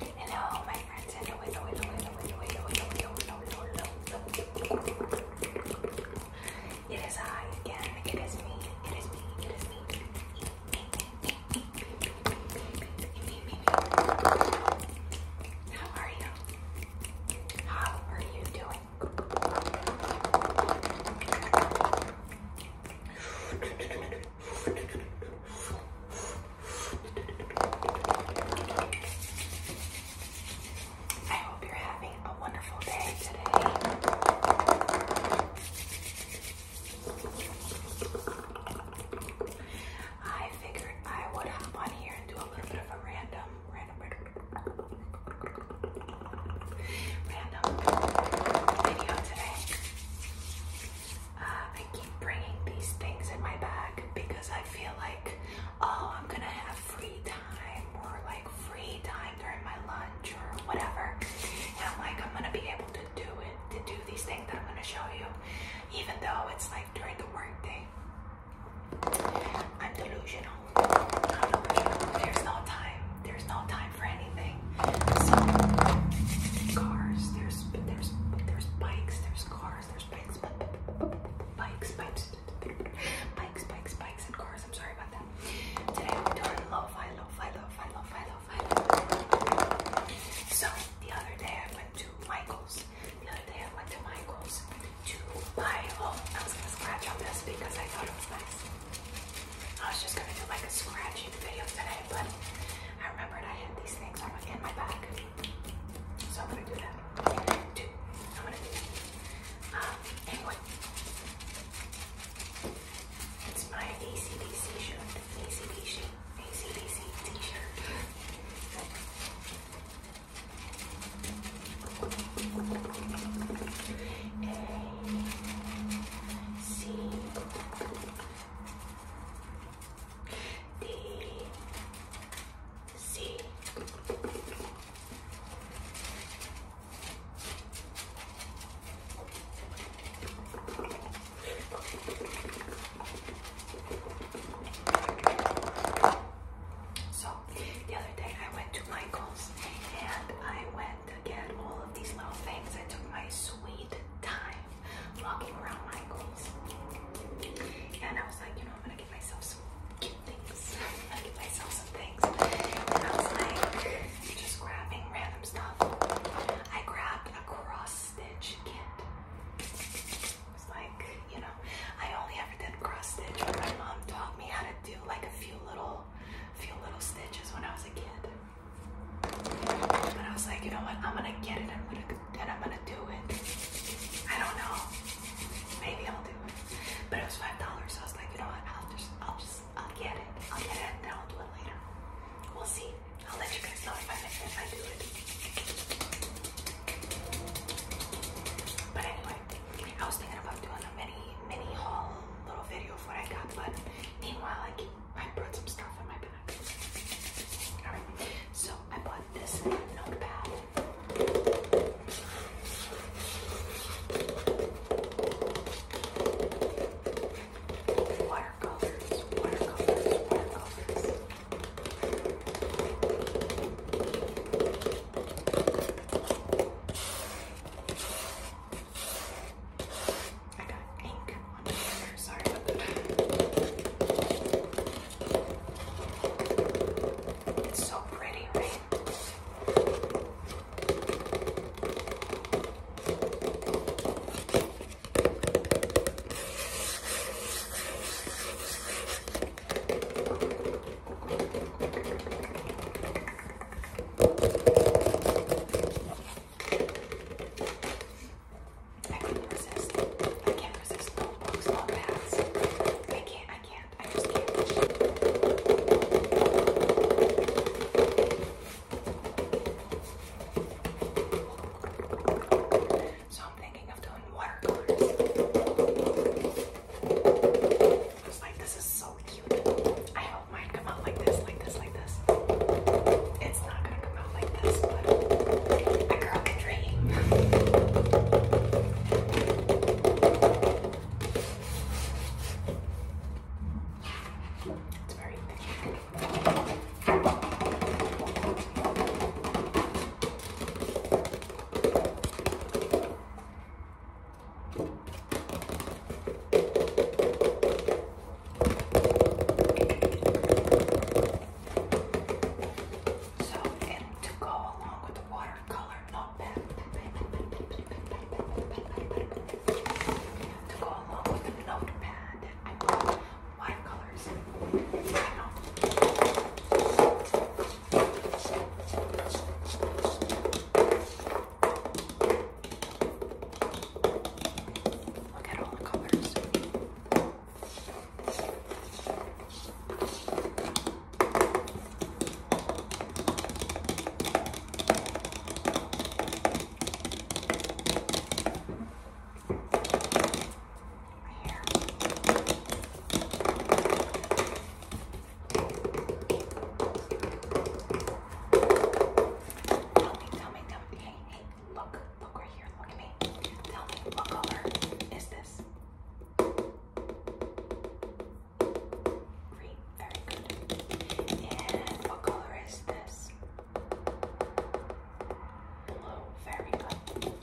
It is I again. It is me. It is me. It is me. How are you? How are you doing? I hope you're having a wonderful day today. I figured I would hop on here and do a little bit of a random, random, random, video today. Uh, I keep bringing these things in my bag because I feel like, oh, I'm gonna have free time or like free time during my lunch or whatever. And I'm like, I'm gonna be able to do it, to do these things that I'm gonna show you, even though it's like during the workday. i I'm delusional. There's no time. There's no time time for anything. So cars, there's there's there's bikes, there's cars, there's bikes, bikes, bikes, bikes, bikes, bikes, and cars. I'm sorry about that. Today we're doing lo-fi, lo-fi, lo-fi, lo-fi, lo-fi. So the other day I went to Michael's. The other day I went to Michael's to buy. Oh, I was gonna scratch on this because I thought it was nice. I was just gonna do like a scratching video today, but I remembered I had these things in my bag. So I'm gonna do that. Dude, I'm gonna do that. Um, anyway. It's my ACDC shirt. ACDC. A C D C so the other day I went to Michael's and I went to get all of these little things. I took my sweet time walking around Michael's. And I was like, you know, I'm gonna get myself some cute things. I'm gonna get myself some things. And I was like, just grabbing random stuff. I grabbed a cross stitch kit. It's like, you know, I only ever did cross stitch, when my mom taught me how to do like a few little little little stitches when I was a kid. and I was like, you know what? I'm gonna get it. I'm gonna and I'm gonna do it. I don't know. Maybe I'll do it. But it was five dollars, so I was like, you know what? I'll just, I'll just, I'll get it. I'll get it, and then I'll do it later. We'll see. I'll let you guys know if I if I do it. But anyway, I was thinking about doing a mini mini haul little video of what I got, but meanwhile I keep I brought some stuff in my bag. Alright, so I bought this notepad. Watercolors, watercolors, watercolors. I got ink on my Sorry It's so pretty, right? I couldn't resist. I can't resist notebooks or baths. I can't, I can't, I just can't. So I'm thinking of doing watercolors this is so cute. I hope mine come out like this, like this, like this. It's not gonna come out like this, but a girl can dream. It's very thick. So, and to go along with the watercolor notepad, to go along with the notepad, I bought watercolors. I know. Look at all the colors over here. Tell me, tell me, tell me. Hey, hey, look, look right here. Look at me. Tell me, look over. Is this green? Very good. And what color is this? Blue. Very good.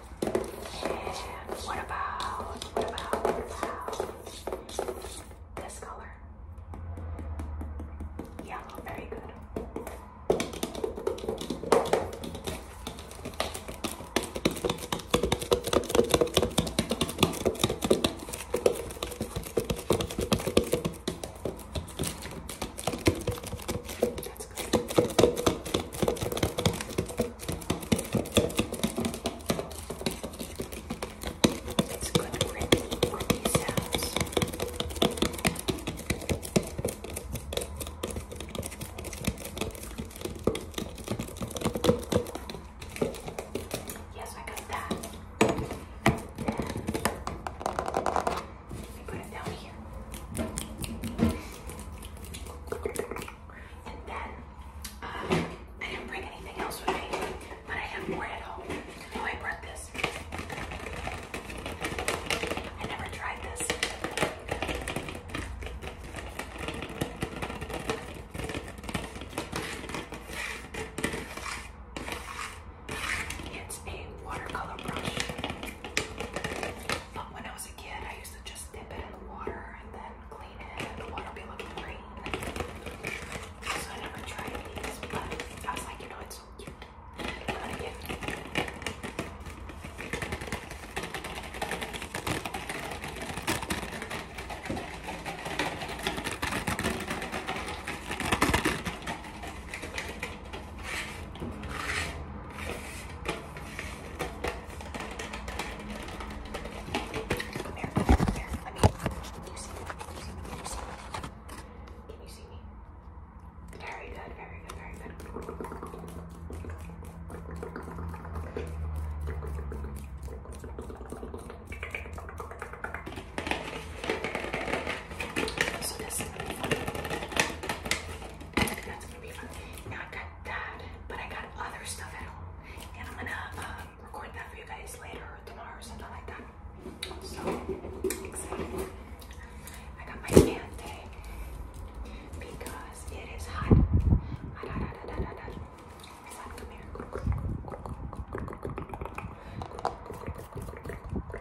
What about, what about, what about this color? Yellow, very good. It's good gritty, gritty sounds. Yes, I got that. Then Put it down here. And then, uh, I didn't bring anything else with me, but I have more at home. Oh, I brought this. I never tried this. It's a watercolor brush. But when I was a kid, I used to just dip it in the water and then clean it, and the water would be looking green. So I never tried these, but I was like, you know, it's so cute. I'm gonna get Come here, come here, come here. Let me. Can you see me? Can you see me? Can you see me? Very good, very good, very good. So this is gonna be fun. That's gonna be fun. Now I got that, but I got other stuff at home, and I'm gonna record that for you guys later tomorrow or something like that. So excited! I got my hand because It's hot. Come here.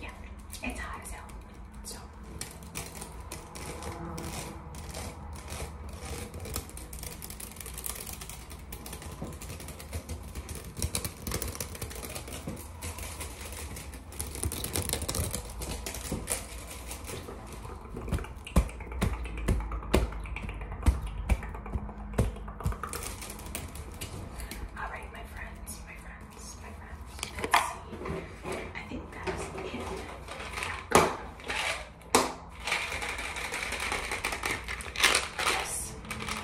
Yeah, it's hot as hell. So all right, my friends, my friends, my friends. Let's see. I think that's it.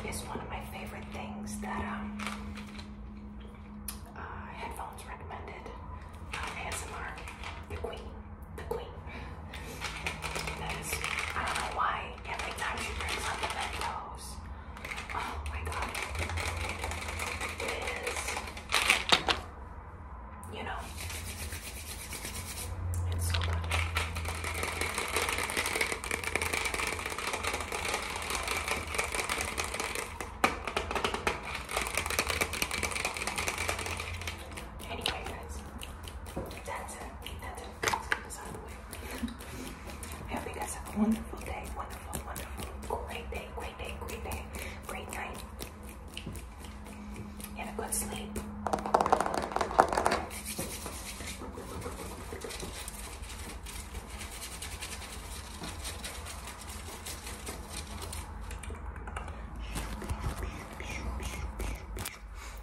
This is one of my favorite things that um, uh, headphones recommended. Uh, ASMR, the Queen the queen. I don't know why every time she brings up the Mentos, oh my god, it is, you know, it's so good. Anyway, guys, I hope you guys have a wonderful day. Wonderful, wonderful, great day, great day, great day, great night. And a good sleep.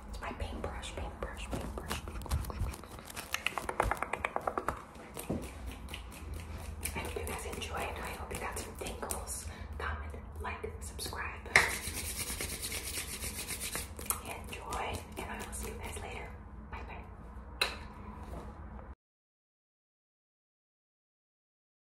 It's my paintbrush, paintbrush, paintbrush. I hope you guys enjoyed. I hope you got some tingles. Comment, like, subscribe. Enjoy, and I will see you guys later. Bye bye.